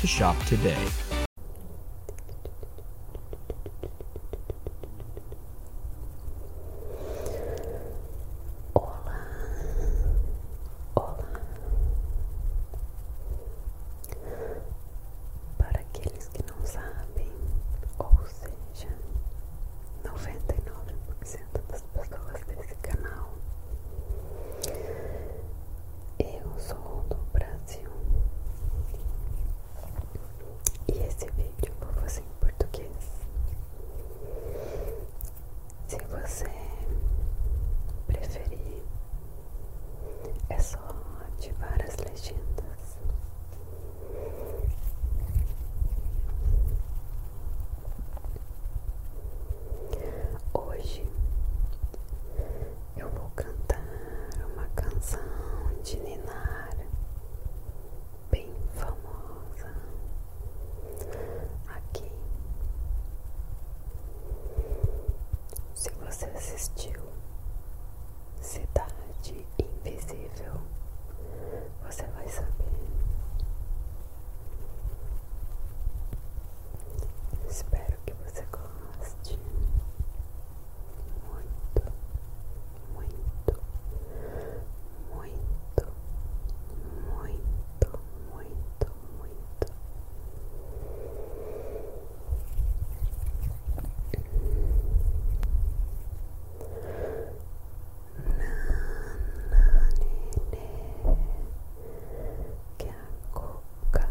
to shop today. Hola. Hola. Para aqueles que não sabem, ou seja, 99% das pessoas desse canal, Eu sou do Brasil e esse vídeo eu vou fazer em português. Se você preferir, é só ativar as legendas. Hoje eu vou cantar uma canção de Ninar bem famosa aqui. Se você assistiu Cidade Invisível, você vai saber. Espero que você goste muito, muito, muito, muito, muito, muito. Na, na, nene, que minha cuca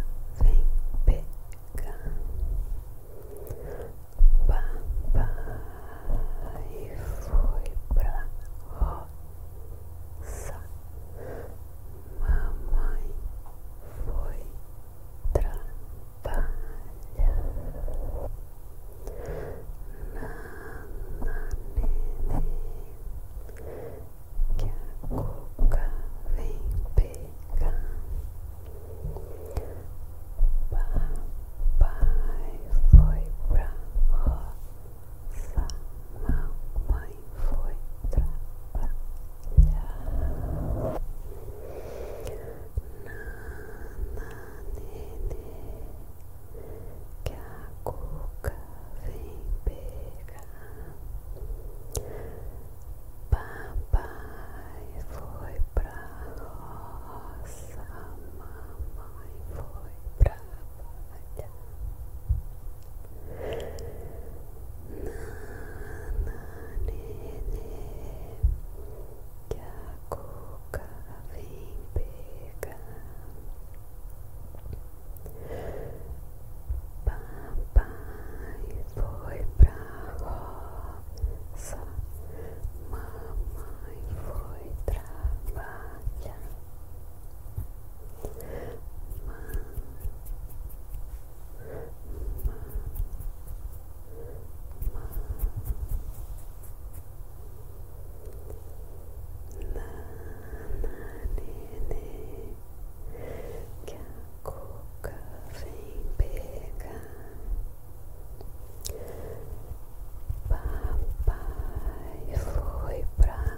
Papai foi pra roça, mamãe foi trabalhar. Na, que a cuca vem pegar. Papai foi pra roça, mamãe foi trabalhar. Nana, nenê, que a cuca vem pegar. Papai foi pra roça, mamãe foi trabalhar. Nana, nenê, que a coca vem pegar. Papai foi pra roça, mamãe foi trabalhar. Ma, ma, ma. Na, na, ne, ne. que a cuca vem pegar. Papai foi pra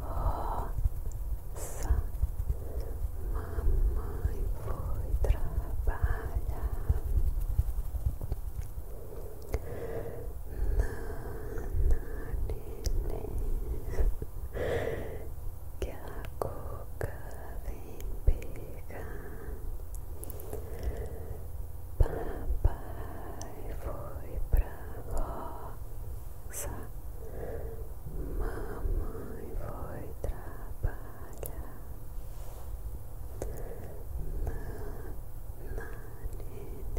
roça, mamãe foi trabalhar. Nana, neném. que a cuca vem pegar. Papai foi pra roça, mamãe foi trabalhar. Na, na nenê,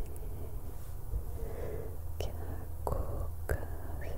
que a cuca vem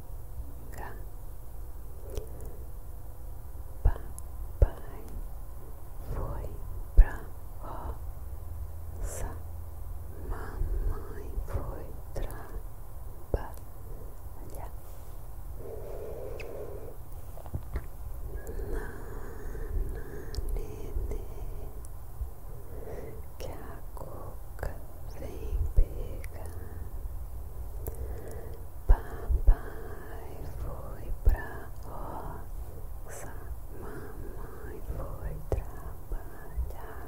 cá. Papai foi pra roça, mamãe foi trabalhar. Nana, nenê, que agora Cook, vem pegar. Papai foi pra roça, mamãe foi trabalhar.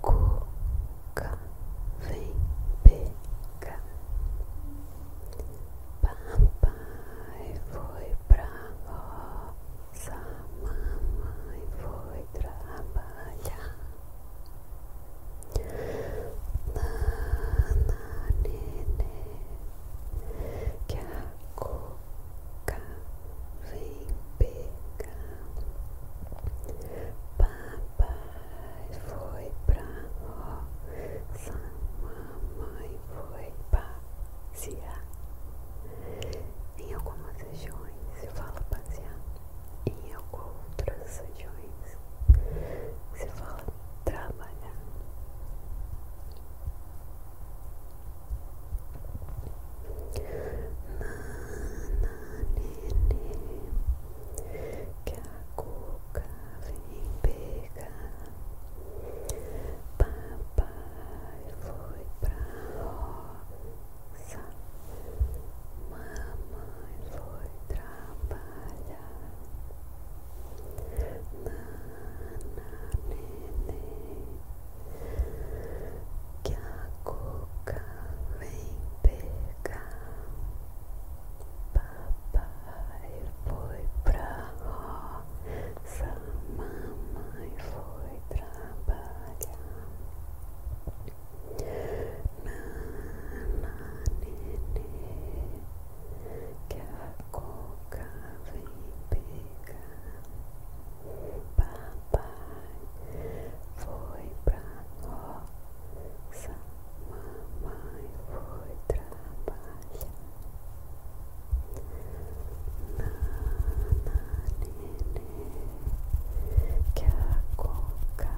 Coca vem pegar. Papai foi pra roça, mamãe foi trabalhar. Nana, que a coca Vem pegar. Papai foi pra roça, mamãe foi passear. Em algumas regiões se fala passear, em outras regiões se fala trabalhar nenê, que a cuca vem pegar. Papai foi pra roça, mamãe foi trabalhar. Nana, nenê, que a cuca vem pegar. Papai foi pra roça, mamãe foi trabalhar. Nana, nenê, que a coca vem pegar. Papai foi pra roça, mamãe foi trabalhar. Nana, nenê, que a coca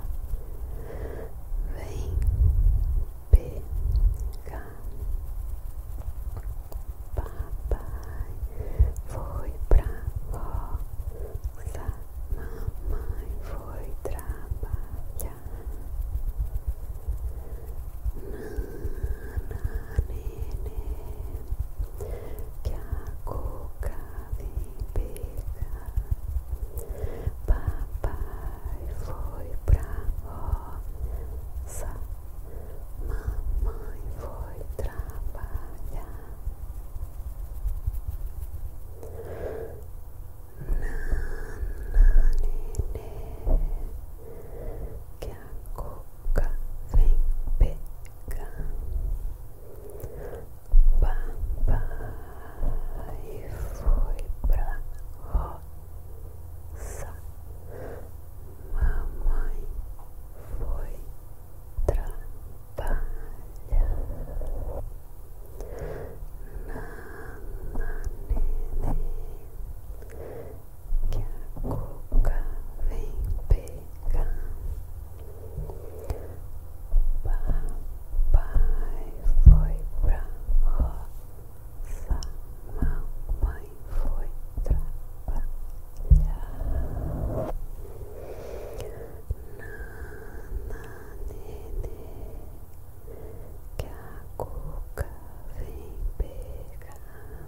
vem pegar. Papai foi pra roça. Mamãe foi trabalhar. Nana, nenê, que a coca vem pegar. Papai foi pra roça. Mamãe foi trabalhar. Nananene, que a coca vem pegar. Papai foi pra roça, mamãe foi trabalha na que a cuca vem pegar. Papai foi pra roça, mamãe foi trabalhar. Nananene, que a Coca vem pegar.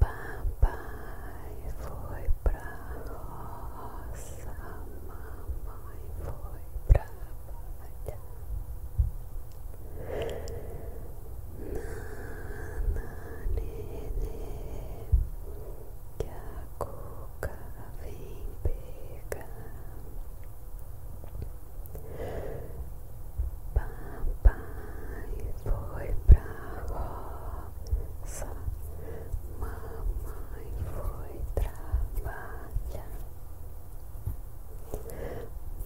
Papai foi pra roça, mamãe foi pra trabalhar. Nananene, que a cuca vem pegar. Papai foi pra roça, mamãe foi trabalhar.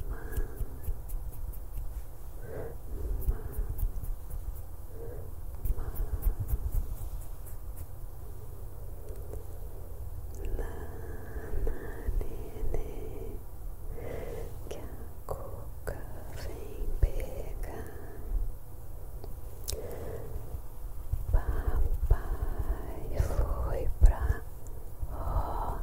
Ma, ma, Nenê, que a cuca vem pegar. Papai foi pra roça,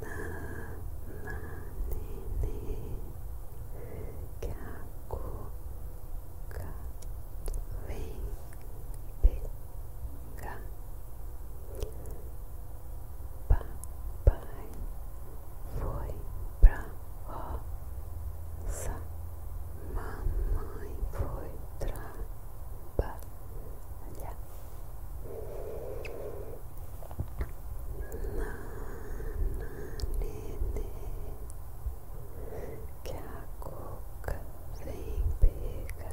na, nene, que a coca vem pegar. Papai foi pra roça, mamãe foi trabalhar que a coca vem pegar.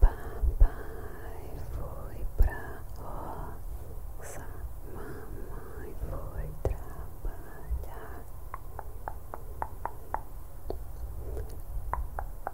Papai foi pra roça, mamãe foi trabalhar.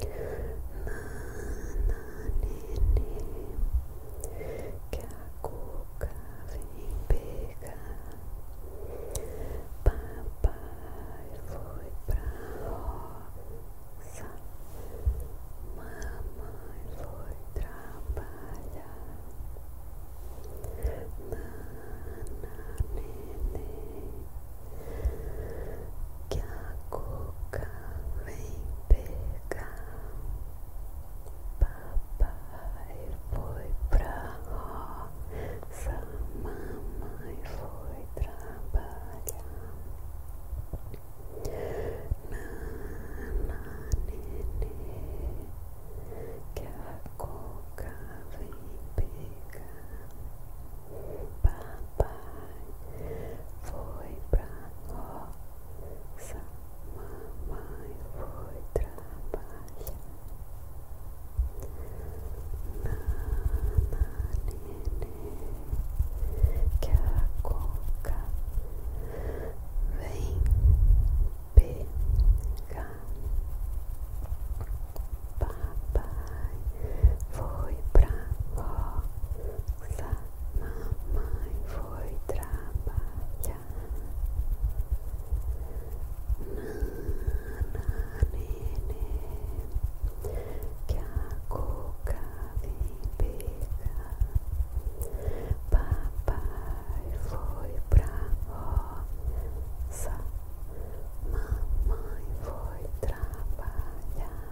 nenê, que a Coca vem pegar. Papai foi pra roça, mamãe foi trabalhar. Nana, nenê, que a Coca Vem pegar, papai foi pra roça, mamãe foi trabalhar. Nana, nenê, que a coca vem pegar. Papai foi pra ó, roça, mamãe foi trabalhar. Nana, nenê, que a coca vem pegar. Papai foi pra ó, sa. Mamãe foi trabalhar. Nana, nenê, que a coca vem pegar. Papai foi pra roça. Mamãe foi trabalhar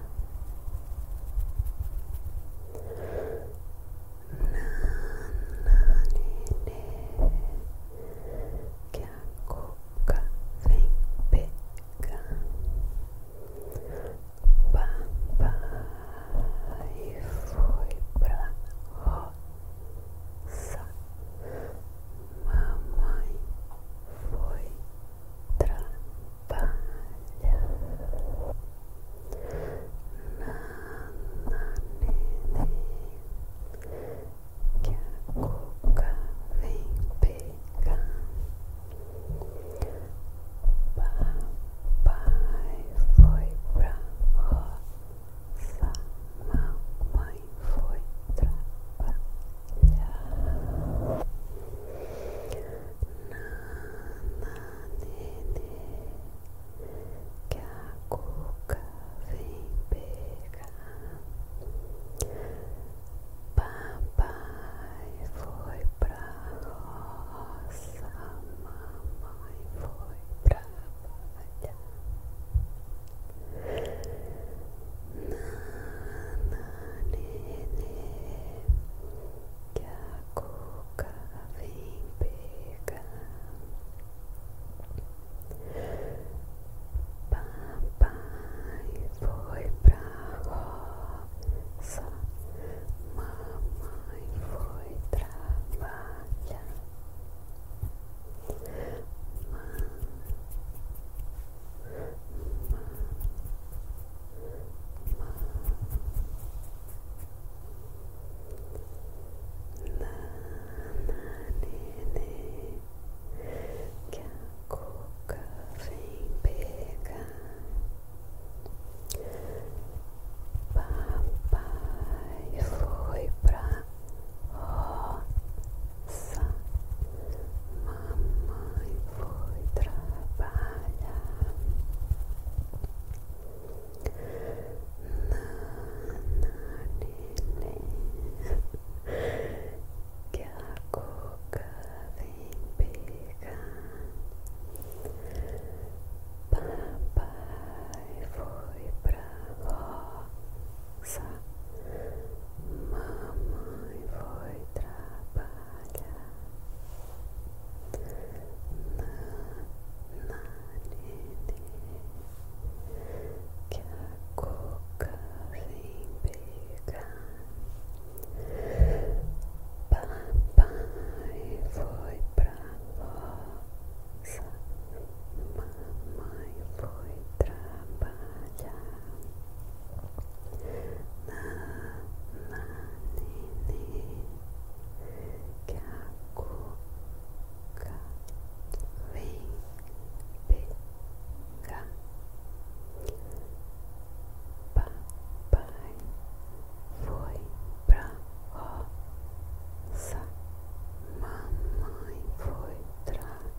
que a coca vem pegar. Papai foi pra roça, mamãe foi trabalhar. palha na que a cuca vem pegar papai foi pra roça mamãe foi trabalhar que a cuca vem pegar. Papai foi pra roça, mamãe foi trabalhar. Nana, nenê, que a cuca vem pegar. Papai foi pra roça, mamãe foi trabalhar. Ma, ma, na nenê que a Coca vem pegar. Papai foi pra roça, mamãe foi trabalhar na neném que a coca vem pegar papai foi Mamãe foi trabalhar que a coca vem pegar. Papai foi pra roça, mamãe foi trabalhar. Na, na, que a cuca vem pegar. Papai foi pra roça, mamãe foi trabalhar.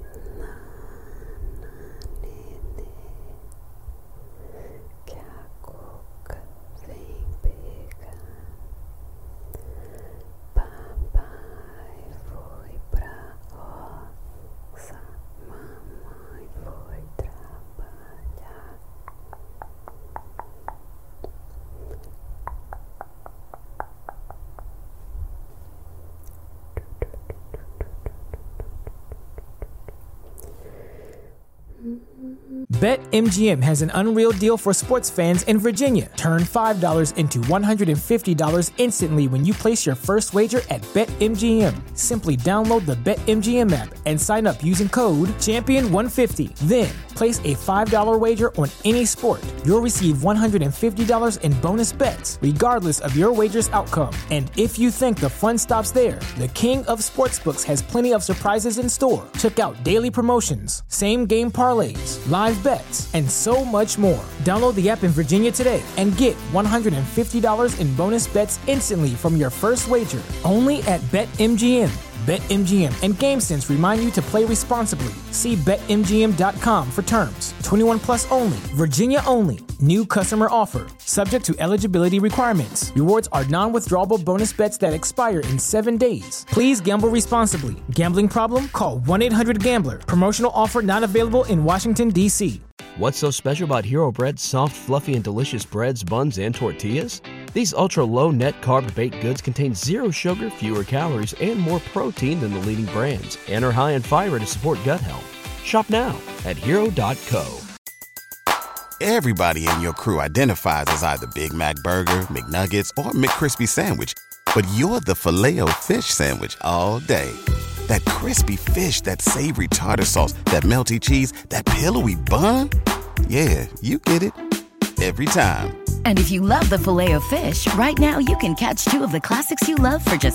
Nananene, que a cuca vem Papai foi pra roça, mamãe foi trabalhar. BetMGM has an unreal deal for sports fans in Virginia. Turn $5 into $150 instantly when you place your first wager at BetMGM. Simply download the BetMGM app and sign up using code Champion150. Then place a $5 wager on any sport. You'll receive $150 in bonus bets regardless of your wager's outcome. And if you think the fun stops there, the King of Sportsbooks has plenty of surprises in store. Check out daily promotions, same game parlays, live bets, and so much more. Download the app in Virginia today and get $150 in bonus bets instantly from your first wager only at BetMGM. BetMGM and GameSense remind you to play responsibly quickly. See BetMGM.com for terms. 21 plus only, Virginia only. New customer offer, subject to eligibility requirements. Rewards are non withdrawable bonus bets that expire in seven days. Please gamble responsibly. Gambling problem? Call 1 800 Gambler. Promotional offer not available in Washington, D.C. What's so special about Hero Bread's soft, fluffy, and delicious breads, buns, and tortillas? These ultra low net carb baked goods contain zero sugar, fewer calories, and more protein than the leading brands. Enter high and fire to support gut health. Shop now at hero.co. Everybody in your crew identifies as either Big Mac Burger, McNuggets, or McCrispy Sandwich, but you're the filet fish Sandwich all day. That crispy fish, that savory tartar sauce, that melty cheese, that pillowy bun. Yeah, you get it every time. And if you love the filet of fish, right now you can catch two of the classics you love for just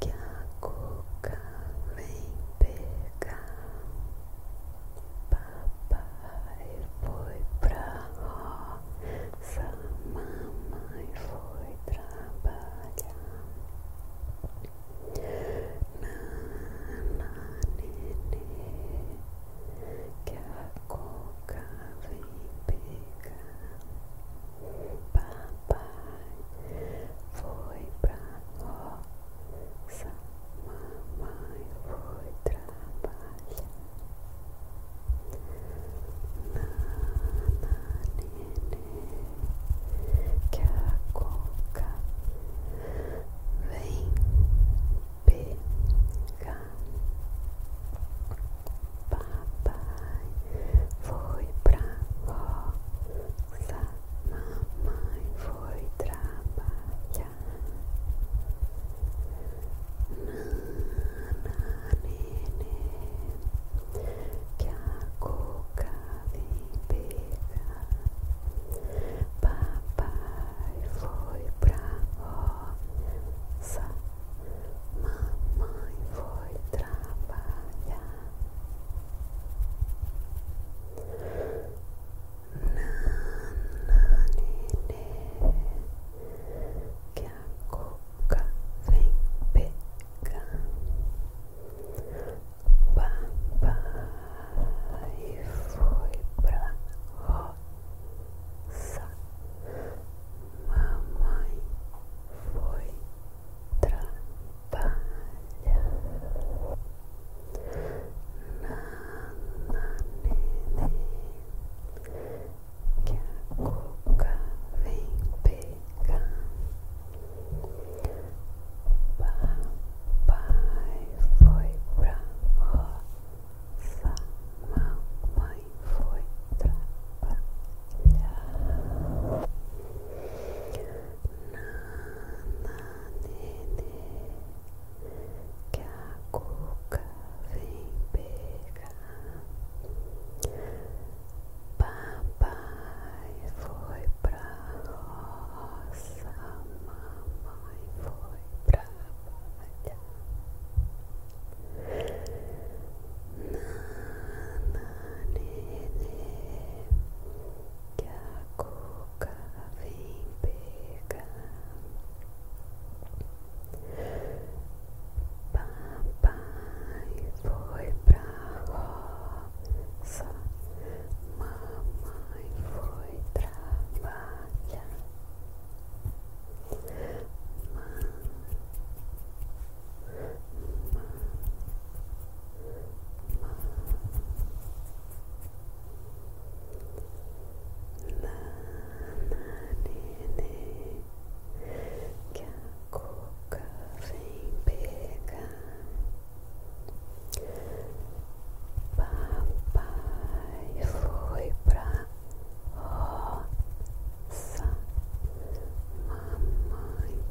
que a cuca vem pegar. Papai foi pra roça, mamãe foi trabalhar. Nana, nenê, que a coca vem pegar. pai foi pra roça, mamãe foi trabalhar. Nana, que a coca vem pegar. Papai foi pra roça. Mamãe foi trabalhar. Nana, nenê, que a coca vem pegar. Papai foi pra roça. Mamãe foi trabalhar que a coca vem pegar. Papai foi pra roça, mamãe foi trabalhar na maneira que a cuca vem pegar Papai foi pra roça, mamãe foi trabalhar Nenê, que a cuca vem pegar. Papai foi pra roça, mamãe foi trabalhar. Nana, nenê, que a Papai foi pra roça, mamãe foi trabalhar. nenê, que a coca vem pegar. Papai foi pra roça, mamãe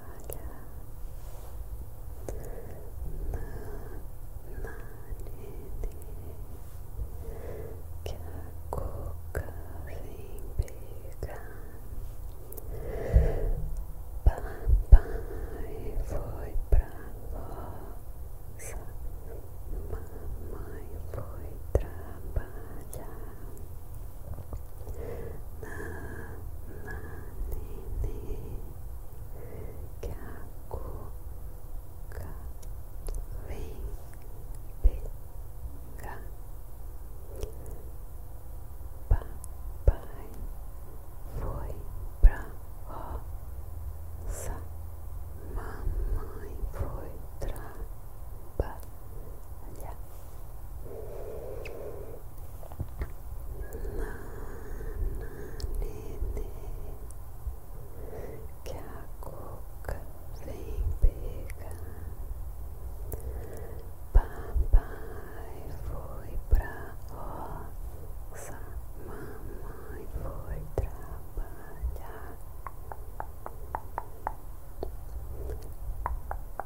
que a cuca pegar. Papai foi pra mamãe foi trabalhar. que a cuca vem pegar. Papai foi pra roça, mamãe foi trabalhar que a coca vem pegar. Papai foi pra roça, mamãe foi trabalhar.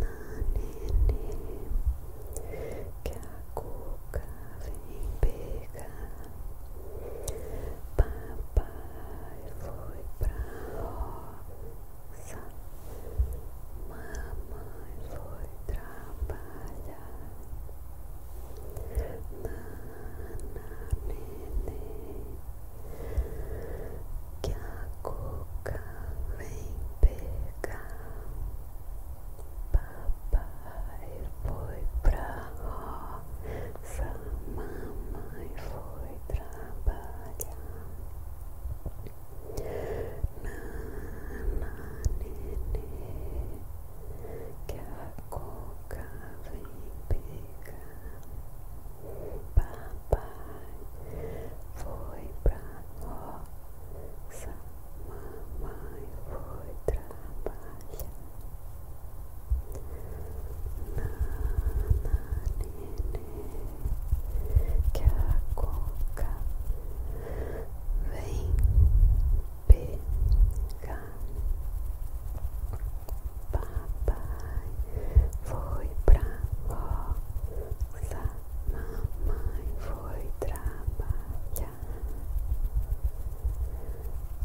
Mananene, que a cuca vem pegar. Papai foi pra roça, mamãe foi trabalhar. Nana, que a coca Vem pegar. Papai foi pra roça, mamãe foi trabalhar. Nana, nenê, que a coca vem pegar. Papai foi pra nossa mamãe foi trabalhar. Nana, nenê, que a coca vem pegar. Papai foi pra roça Mamãe foi trabalhar.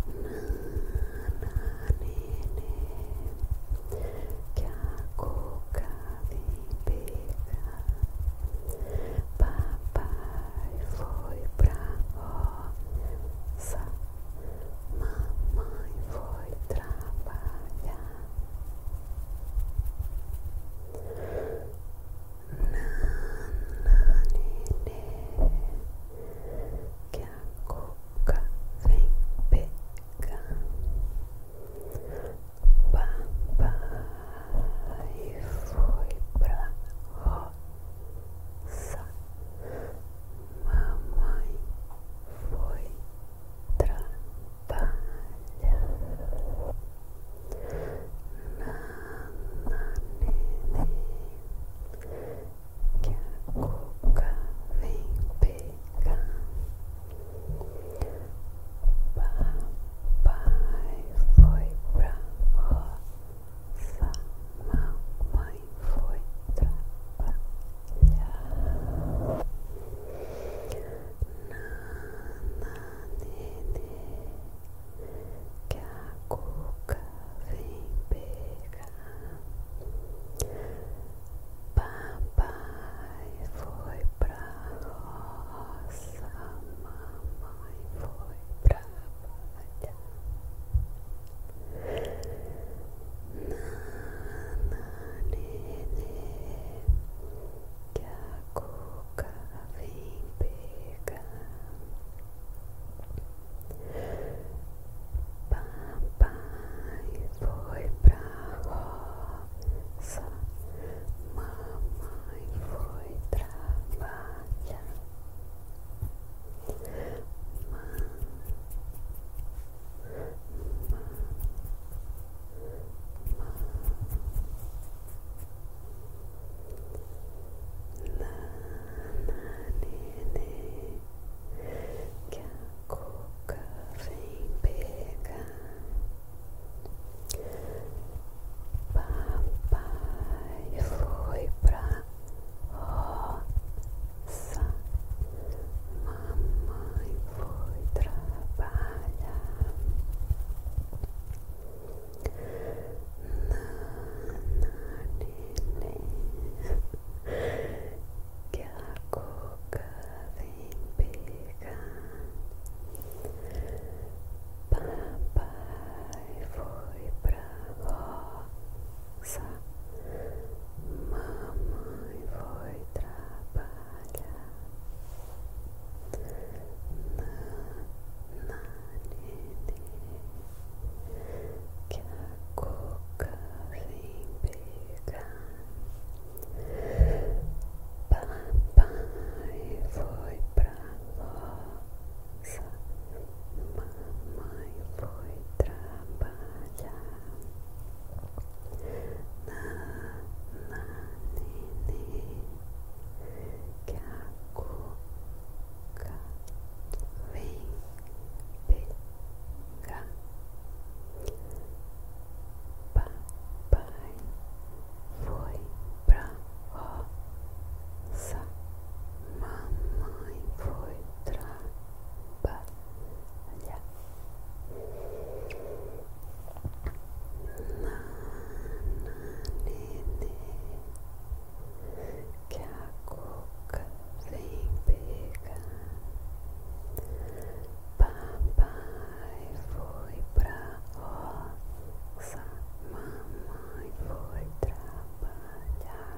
Nana, nenê, que a coca vem pegar. Papai foi pra roça. Mamãe foi trabalhar. Nananine, que a coca vem pegar. Papai foi pra roça, mamãe foi trabalhar. palha na que a cuca vem pegar foi pra roça na, na, nele que a cuca vem pegar. Papai foi pra roça, mamãe foi pra batalha. Nana, nenê, que a Papai foi pra roça, mamãe foi trabalhar. Nananene, que a cuca vem pegar. Papai foi pra roça, mamãe foi trabalhar. क्या Papai foi pra roça, mamãe foi trabalhar que a coca Papai foi pra roça, mamãe foi trabalhar. Na, na, que a cuca vem pegar. Papai foi pra roça, mamãe foi trabalhar. Nananene Que a cuca vem pegar Papai foi pra roça Mamãe foi trabalhar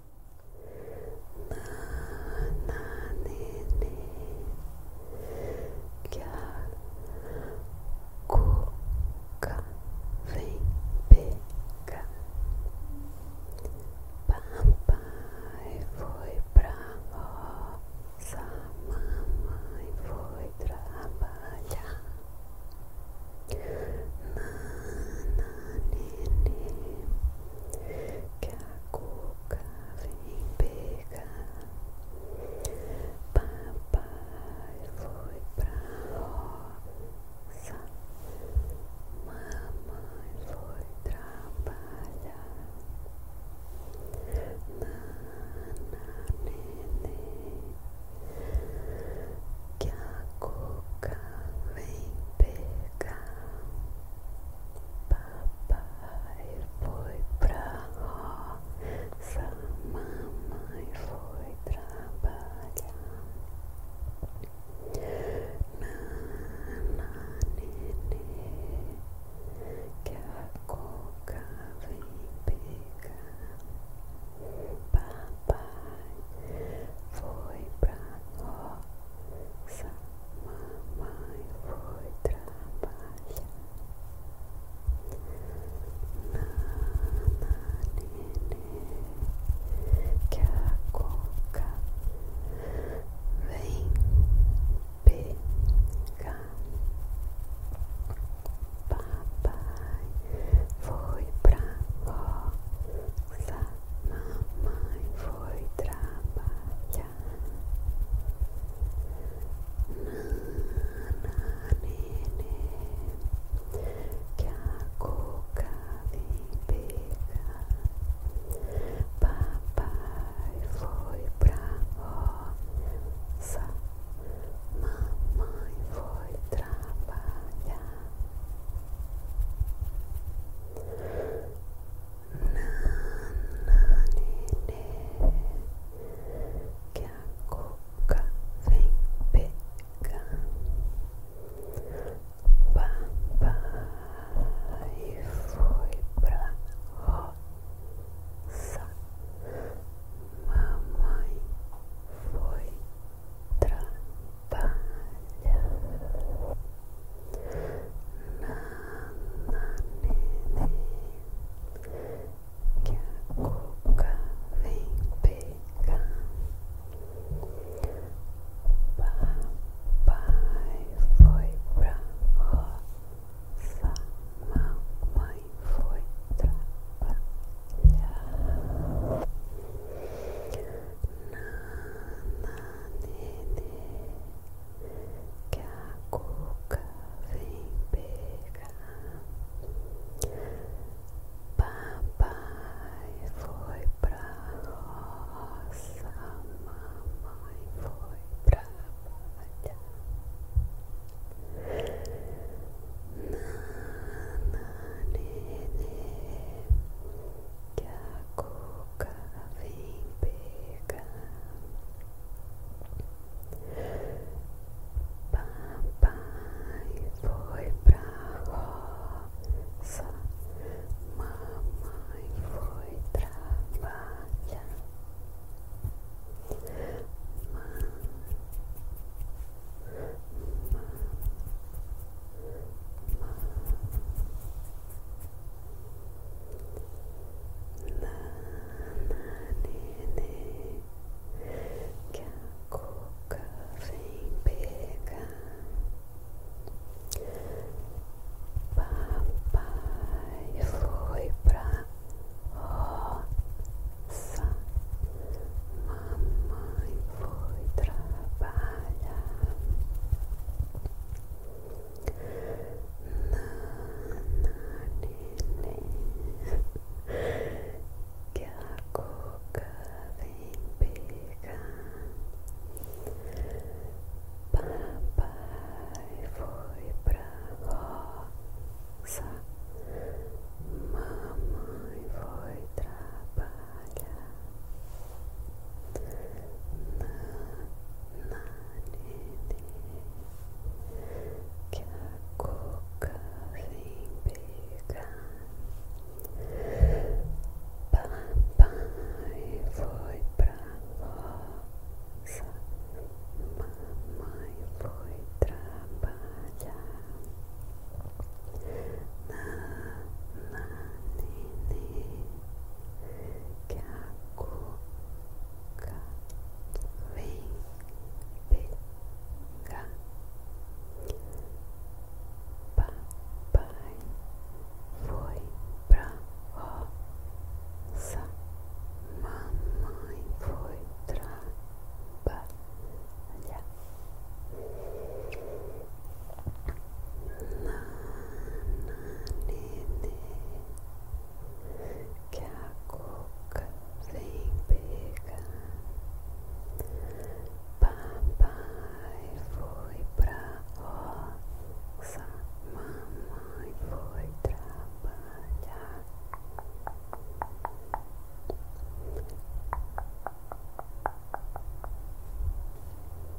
que a cuca vem pegar. Papai foi pra roça, mamãe foi trabalhar. Nana nele que a cuca vem pegar. Papai foi pra roça, mamãe foi trabalhar. Nana, que a cuca vem pegar. Papai foi pra roça, mamãe foi trabalhar. Nana, nenê, que a coca vem pegar. Papai foi pra nossa mamãe foi trabalhar. na nenê, que a coca vem pegar. Papai foi pra roça. Mamãe foi trabalhar. Nana, nenê, que a coca vem pegar. Papai foi pra roça. Mamãe foi trabalhar. Nananene que a cuca vem pegar Papai foi pra roça Mamãe foi trabalhar que a cuca vem pegar. Papai foi pra roça, mamãe foi trabalhar. Nananene, que a cuca vem pegar. Papai foi pra roça, mamãe foi pra batalha. Nananene, que a cuca vem pegar. Papai foi pra roça, mamãe foi trabalhar. Ma, ma, ma. Nananene, que a cuca vem pegar. Papai foi pra roça, mamãe foi trabalhar. que a coca vem pegar. Papai foi pra roça, mamãe foi trabalhar que a coca vem pegar. Papai foi pra roça, mamãe foi trabalhar. Na, na, nenê, que a coca vem pegar. Papai foi pra roça, mamãe foi pra trabalhar. nanene que a cuca vem pegar. Papai foi pra roça, mamãe foi trabalhar.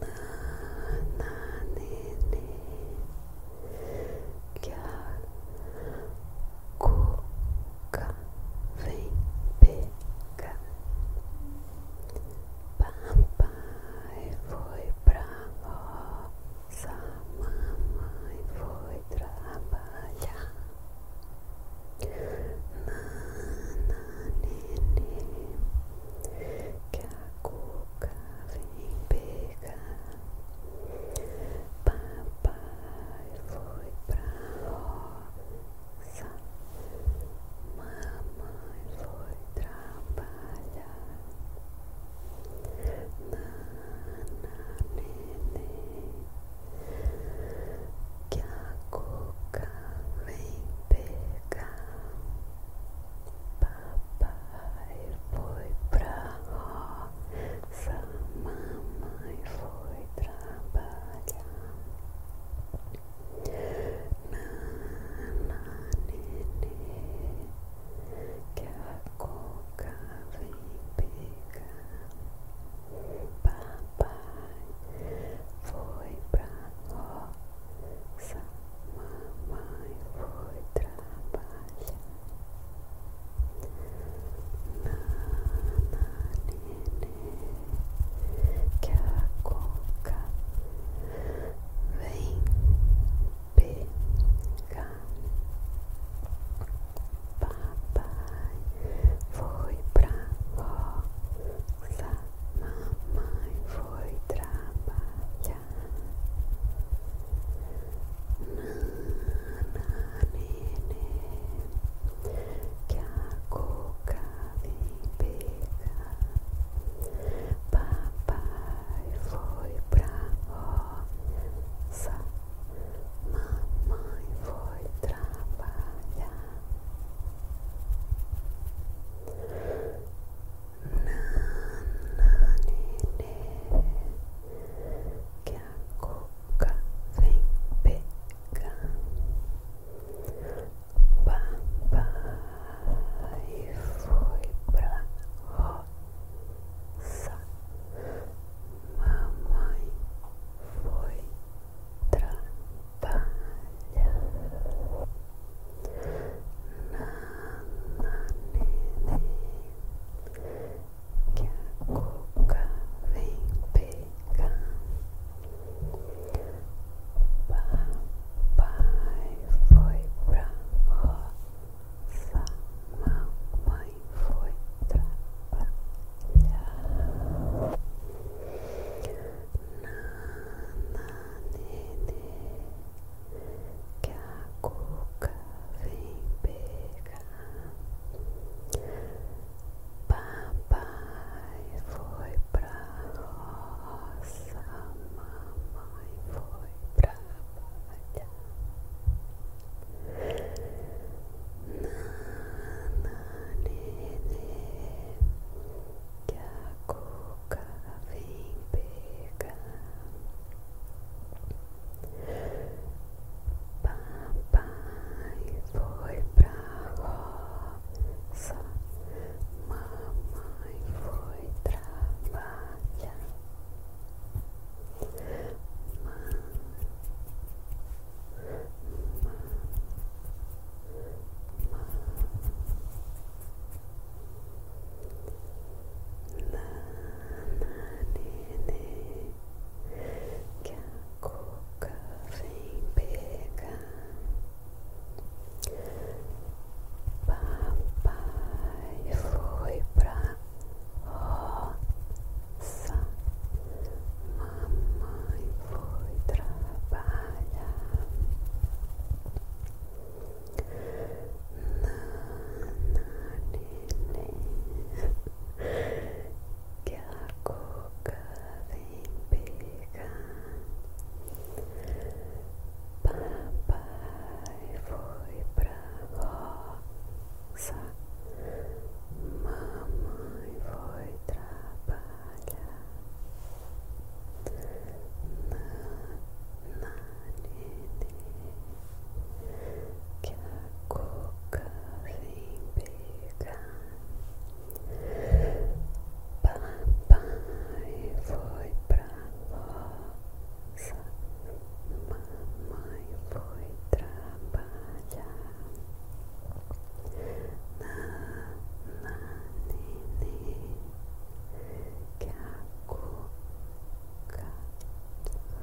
Nananene Cuca vem pegar Papai foi pra roça Mamãe foi trabalhar Nananene que a cuca vem pegar. Papai foi pra roça, mamãe foi trabalhar. Nana, neném, que a cuca vem pegar. Papai foi pra sua mamãe foi trabalhar. Nana, nenê, que a coca vem pegar. Papai foi pra roça nossa mamãe foi trabalhar. Nana, nenê, que a coca vem pegar. Papai foi pra roça Mamãe foi trabalhar. Nana, nenê, que a coca vem pegar. Papai foi pra roça. Mamãe foi trabalhar. nananene que a coca vem pegar Papai foi pra roça Mamãe foi trabalhar Nananene Que a vem pegar Papai foi pra roça Mamãe foi trabalhar Nananene que a cuca vem pegar. Papai foi pra roça, mamãe foi pra batalha. Nana, nenê, que a cuca vem pegar. Papai foi pra roça, mamãe foi trabalhar. Mamãe, mamãe, mamãe. Nananene, que a cuca vem pegar. Papai foi pra roça, mamãe foi trabalhar. que a coca vem pegar. Papai foi pra roça, mamãe foi trabalhar que a cuca vem pegar. Papai foi pra roça, mamãe foi trabalhar. Na, na, nenê. que a cuca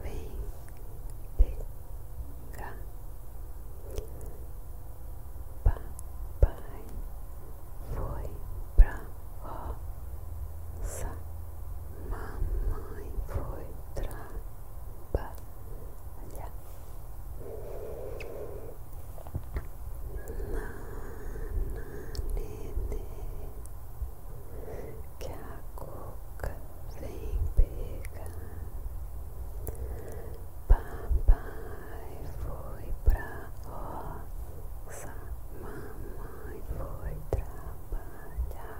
vem pegar. Papai foi pra roça, mamãe foi trabalhar. Nananene Que a cuca vem pegar Papai foi pra roça Mamãe foi trabalhar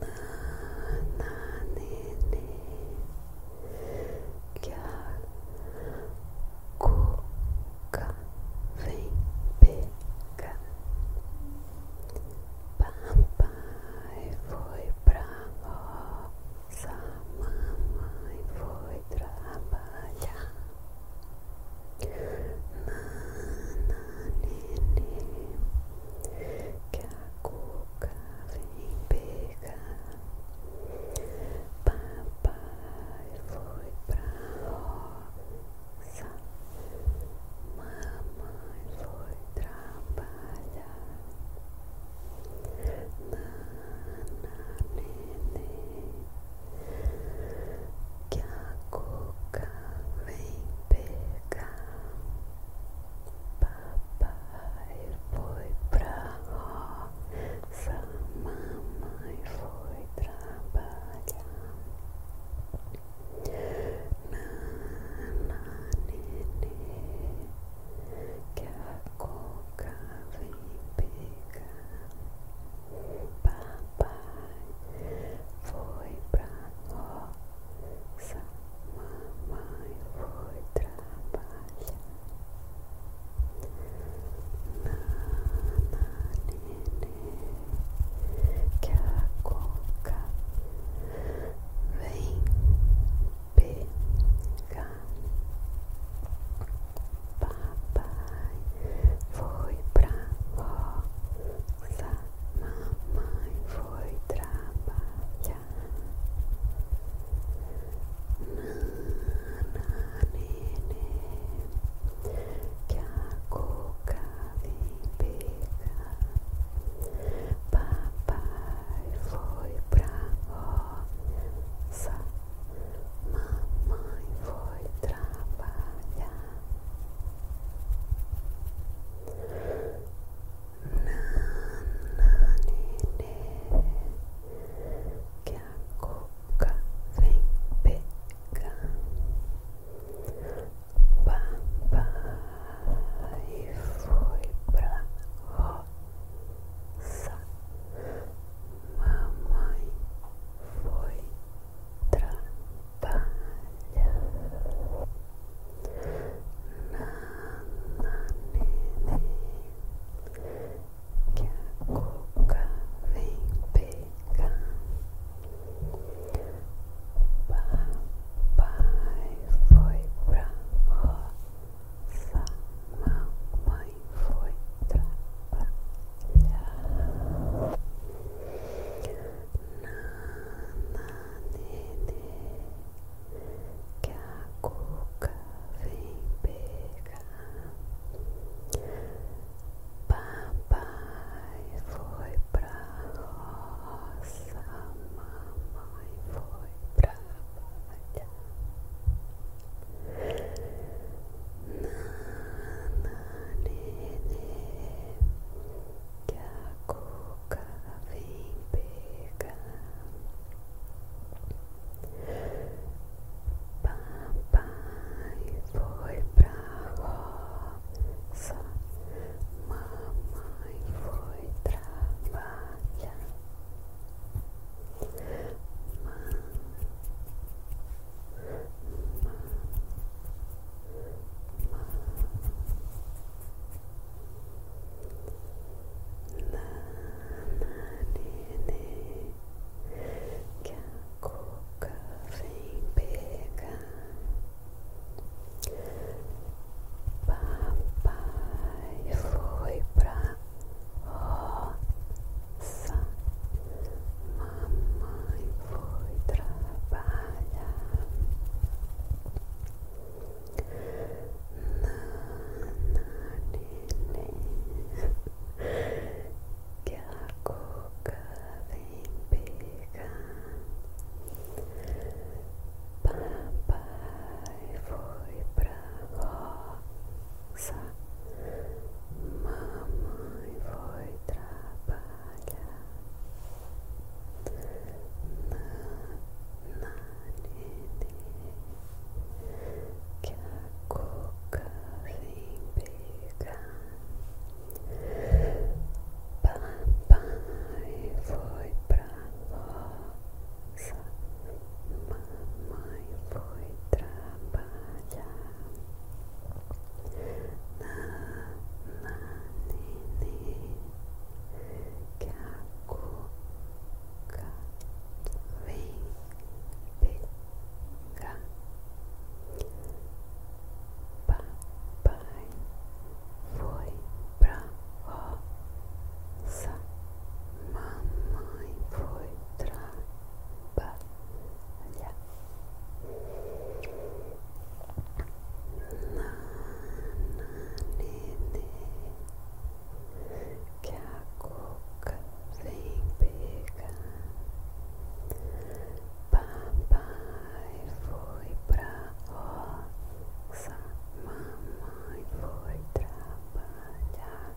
Nananene Cuca vem pegar Papai foi pra roça Mamãe foi trabalhar Nananene que a boca vem pegar. Papai foi pra roça, mamãe foi trabalhar. Nana, neném, que coca vem pegar. Papai foi pra ó, sua mamãe foi trabalhar. Nana, nenê, que a coca vem pegar. Papai foi pra ó. Sua mamãe foi trabalhar. Nana, nenê, que a coca vem pegar. Papai foi pra roça, mamãe foi foi trabalhar. Mana, que a coca vem pegar. Papai foi pra roça, mamãe foi trabalhar. que a coca vem pegar. foi pra roça, mamãe foi trabalhar. Nananene, que a cuca pegar. Papai foi pra roça, mamãe foi trabalhar. Nananene, que a cuca vem pegar. Papai foi pra roça, mamãe foi pra trabalhar. Nana, nenê, que a cuca vem pegar. Papai foi pra roça, mamãe foi trabalhar. Nananene, que a cuca vem pegar. Papai foi pra roça, mamãe foi trabalhar que a coca vem pegar. Papai foi pra roça, mamãe foi trabalhar. que a cuca vem pegar. Papai foi pra roça, mamãe foi trabalhar. Na, Caco vem pegar Papai foi pra roça Mamãe foi trabalhar Na, na, nenê que a coca vem pegar. Papai foi pra roça, mamãe foi trabalhar.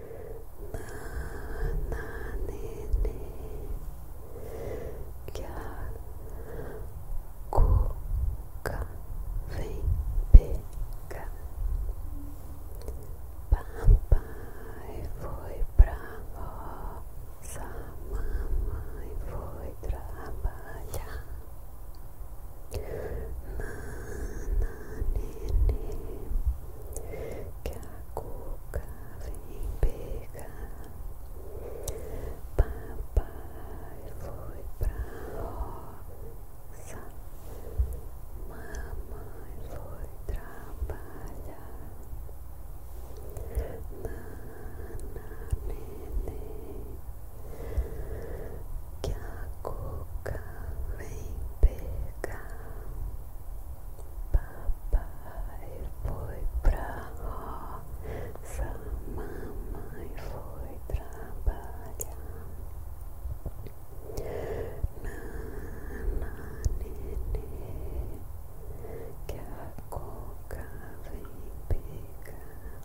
que a coca vem pegar. Papai foi pra roça, mamãe foi trabalhar. Nana, nenê, que a coca Ave pega. Papai foi pra roça. Mamãe foi trabalhar. Nana, neném, que vem pegar. papai foi pra roça, mamãe foi trabalhar. Nana, nenê, que a coca vem pegar.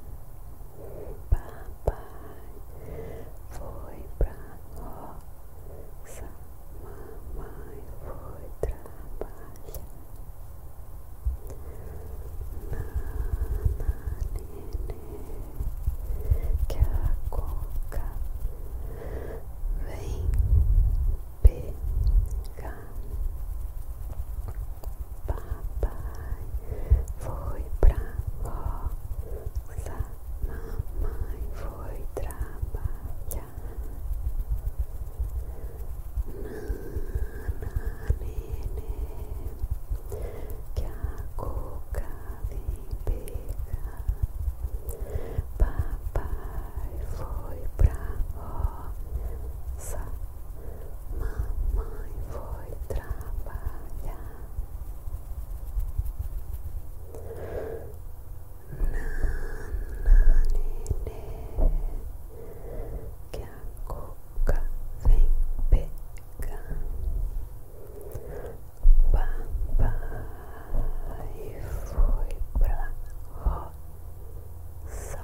Papai foi pra roça. Mamãe foi trabalhar Nana, nenê Que a coca Vem pegar Papai foi pra roça Mamãe foi trabalhar nene, que a coca vem pegar. Papai foi pra roça, mamãe foi trabalhar. nananê que coca vem papai foi pra roça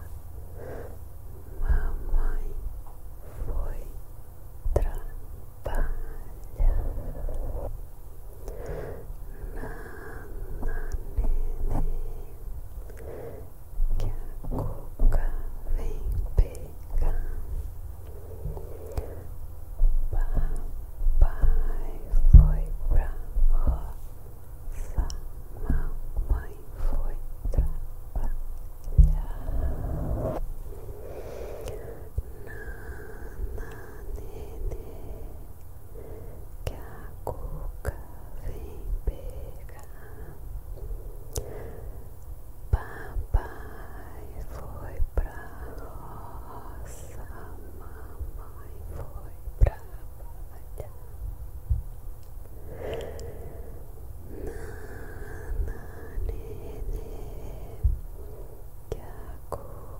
mamãe foi trabalhar que a vem pegar. Papai foi pra roça, mamãe foi trabalhar. Nana, nenê, que a cuca vem pegar. Papai foi pra roça, mamãe foi pra trabalhar. Nana, nenê, que a cuca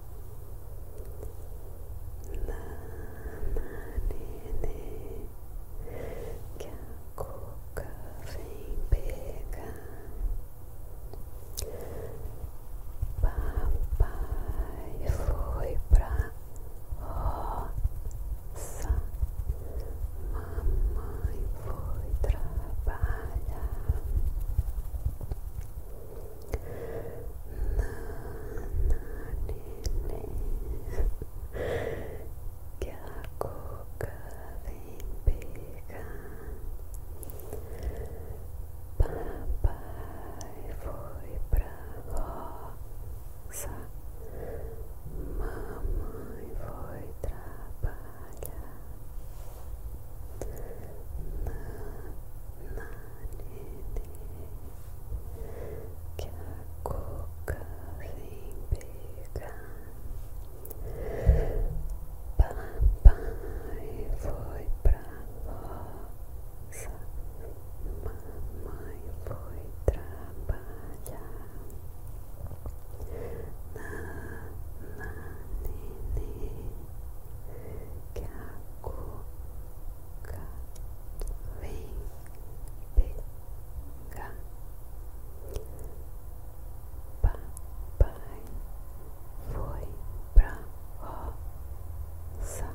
Nananene, que a cuca vem pegar. Papai foi pra roça, mamãe foi trabalhar. क्या को कभी बेगा Papai foi pra roça Mamãe foi trabalhar na que a cuca vem pegar. Papai foi pra roça, mamãe foi trabalhar. Na, na, que a cuca boca vem pegar papai foi pra roça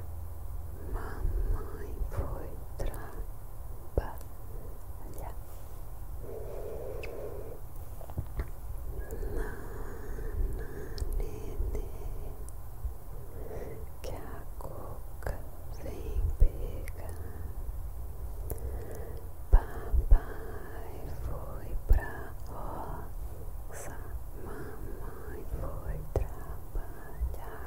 mamãe foi trabalhar na, na, que a coca vem pegar. Papai foi pra roça, mamãe foi trabalhar.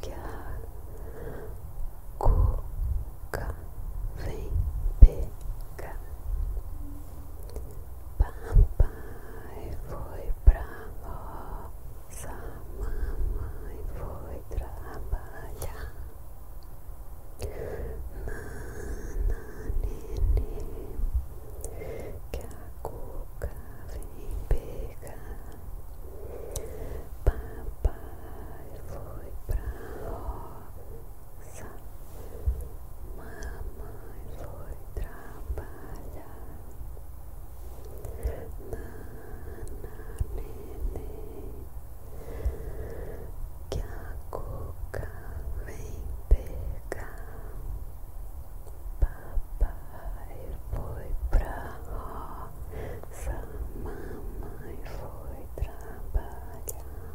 que a coca vem pegar. Papai foi pra roça, mamãe foi trabalhar. Nana, nenê, que a coca vem pegar chegar. Papai foi pra roça, mamãe foi trabalhar. Nana, neném, que a coca vem pegar. Papai foi pra roça, mamãe foi trabalhar.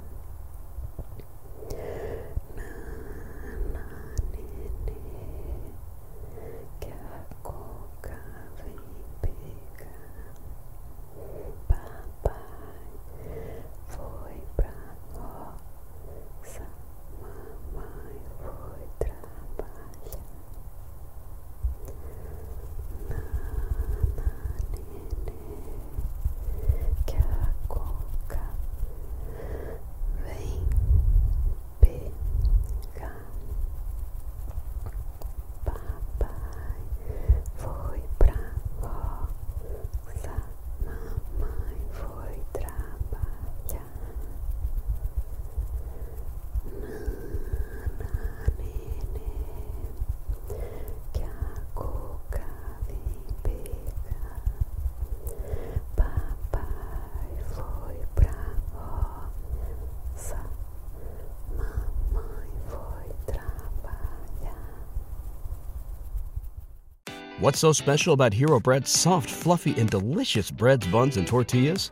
Nana, nenê, que a coca vem pegar. Papai foi pra roça. Mamãe foi trabalhar Nana, nenê Que a coca Vem pegar Papai foi pra roça Mamãe foi trabalhar What's so special about Hero Bread's soft, fluffy, and delicious breads, buns, and tortillas?